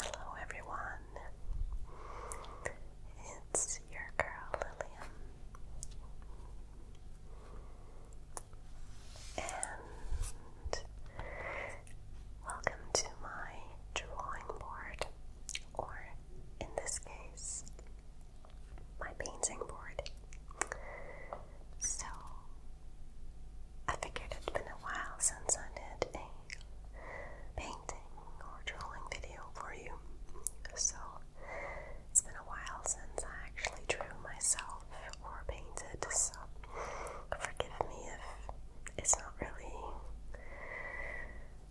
Hello, everyone. It's your girl Lillian, and welcome to my drawing board, or in this case, my painting board. So, I figured it's been a while since I did a painting or drawing video for you. So it's been a while since I actually drew myself or painted, so forgive me if it's not really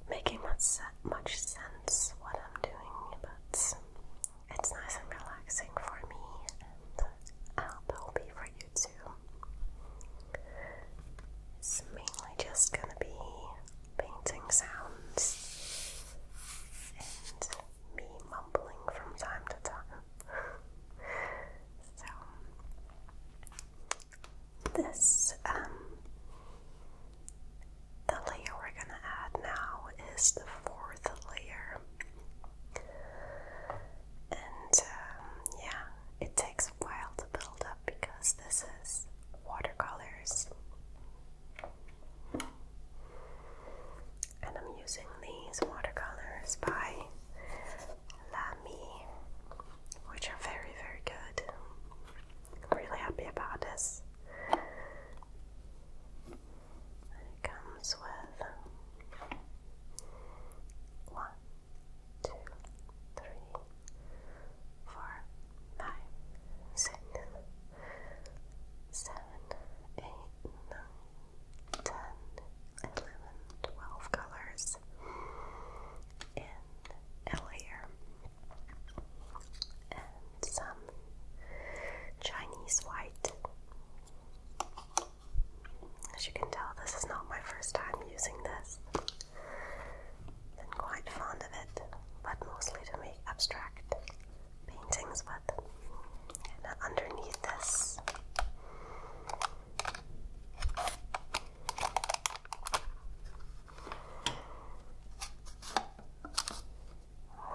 making much, se much sense what I'm doing, but it's nice and relaxing for me, and I hope it will be for you it's mainly just going to be painting sounds and me mumbling from time to time. so, this, um, the layer we're going to add now is the fourth layer. And um, yeah, it takes a while to build up because this is watercolors. And I'm using these watercolors by La Lamy, which are very, very good. I'm really happy about this. It comes with one, two, three, four, five, six, seven, eight, nine, ten, eleven, twelve colors in a layer, and some Chinese white. As you can tell, this is not my first time using this and quite fond of it, but mostly to make abstract paintings. But underneath this,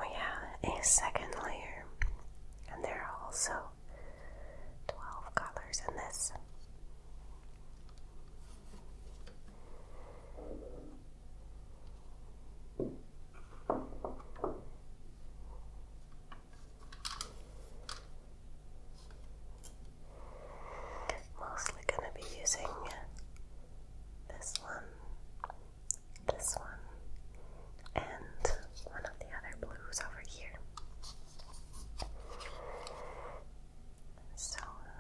we have a second layer, and there are also 12 colors in this. Mostly going to be using this one, this one, and one of the other blues over here. So uh,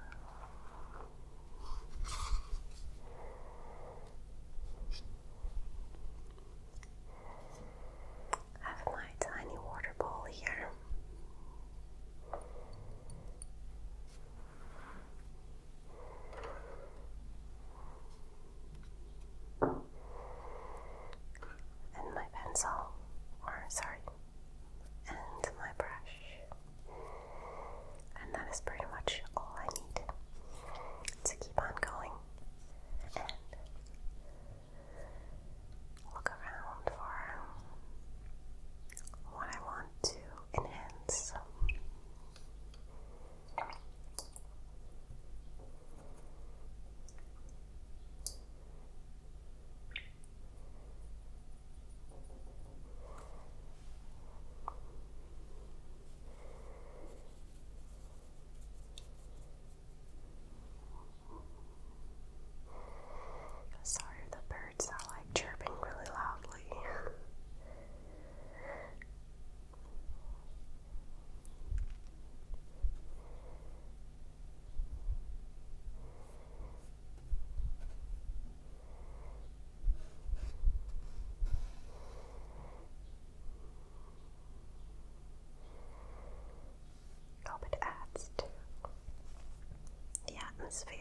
I have my tiny water bowl here and my pencil, or sorry, and my brush. And that is pretty much all I need to keep on going and look around for what I want to enhance. Sorry the birds are like chirping really loudly hope it adds to the atmosphere.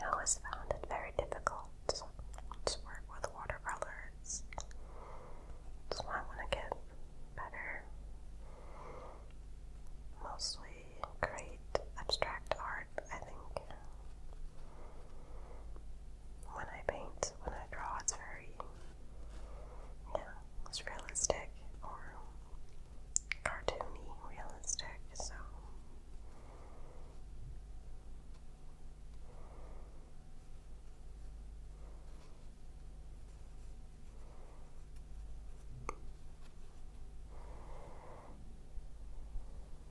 I always found it very difficult to work with watercolors. That's why I to get better. Mostly create abstract art, I think when I paint, when I draw, it's very, yeah, it's realistic or cartoony realistic, so.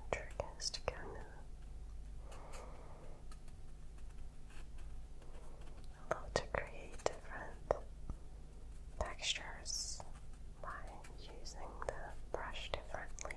Electric has to kind of allow to create different textures by using the brush differently.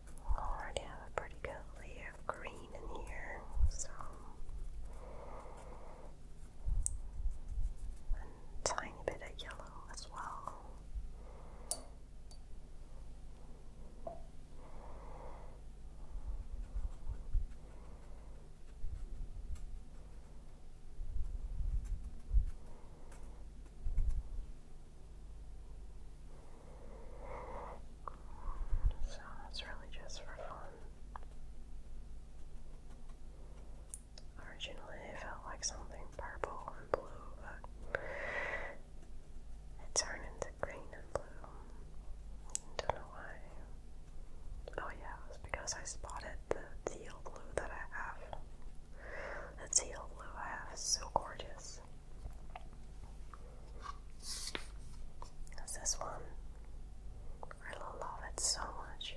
already have a pretty good layer of green in here, so tiny bit of yellow as well. So it's really just for fun. Originally it felt like something purple and blue, but it turned into green and blue. Don't know why. Oh yeah, it because I spotted the teal blue that I have. The teal blue I have is so gorgeous. There's this one. I love it so much.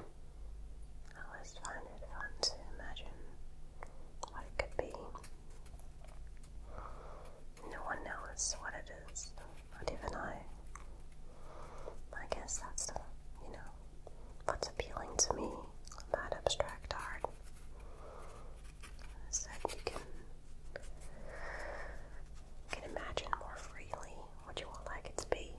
I always find it fun to imagine what it could be. No one knows what it is, not even I. I guess that's the, you know, what's appealing to me about abstract art is that you can, can imagine more freely what do you want like it to be?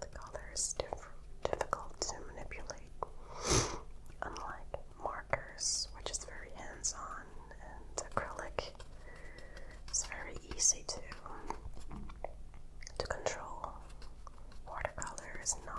The color is difficult to manipulate, unlike markers, which is very hands on, and acrylic is very easy to to control. Watercolor is not.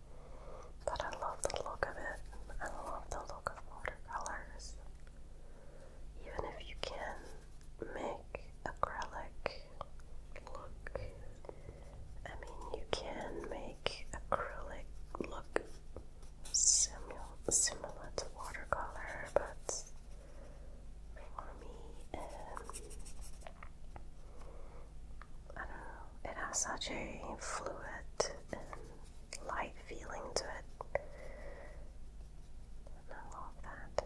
But I love the look of it. I love the look of watercolors. Even if you can make acrylic look, I mean, you can make acrylic look simul similar to watercolor, but for me, um, I don't know, it has such a fluid and light feeling to it. I love that.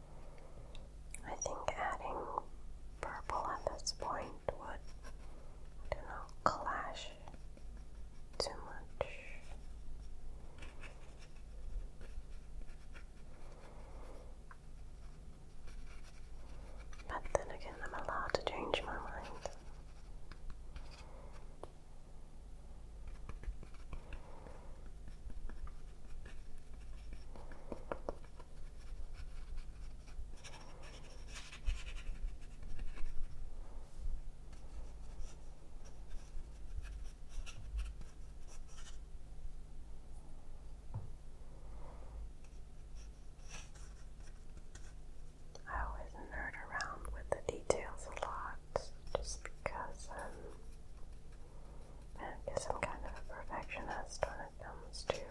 I think adding purple at this point would, I don't know, clash too much. But then again, I'm allowed to change my mind. I always nerd around with the details a lot just because um, I guess I'm kind of a perfectionist when it comes to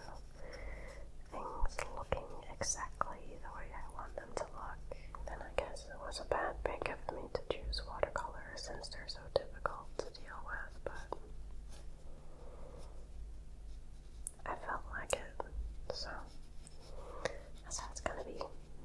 things looking exactly the way I want them to look. Then I guess it was a bad pick of me to choose watercolor since they're so difficult to deal with, but I felt like it, so that's how it's gonna be.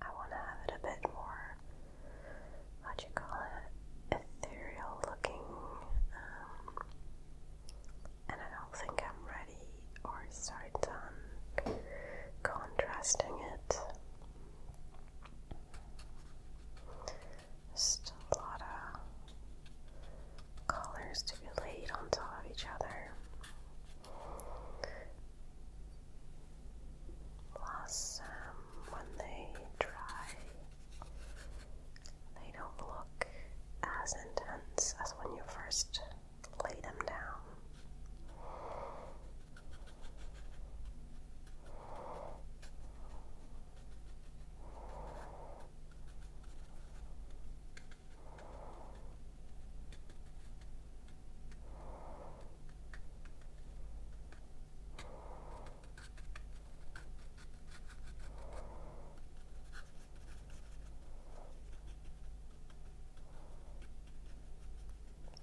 I want to have it a bit more, what do you call it, ethereal looking. Um, and I don't think I'm ready or started contrasting it. a lot of colors to be laid on top of each other. Blossom, when they dry, they don't look as intense as when you first lay them down.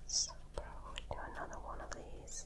So probably do another one of these.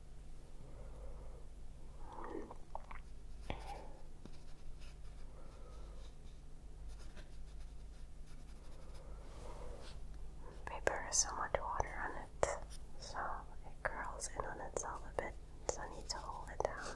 Paper has so much water on it, so it curls in on itself a bit, so I need to hold it down.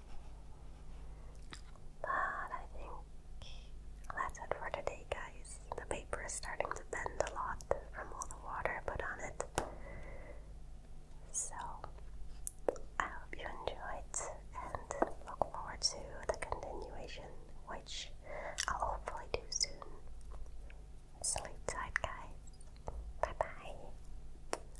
But I think that's it for today, guys. The paper is starting to bend a lot from all the water I put on it. So I hope you enjoyed and look forward to the continuation, which I'll hopefully do soon. Sleep tight, guys. Bye bye.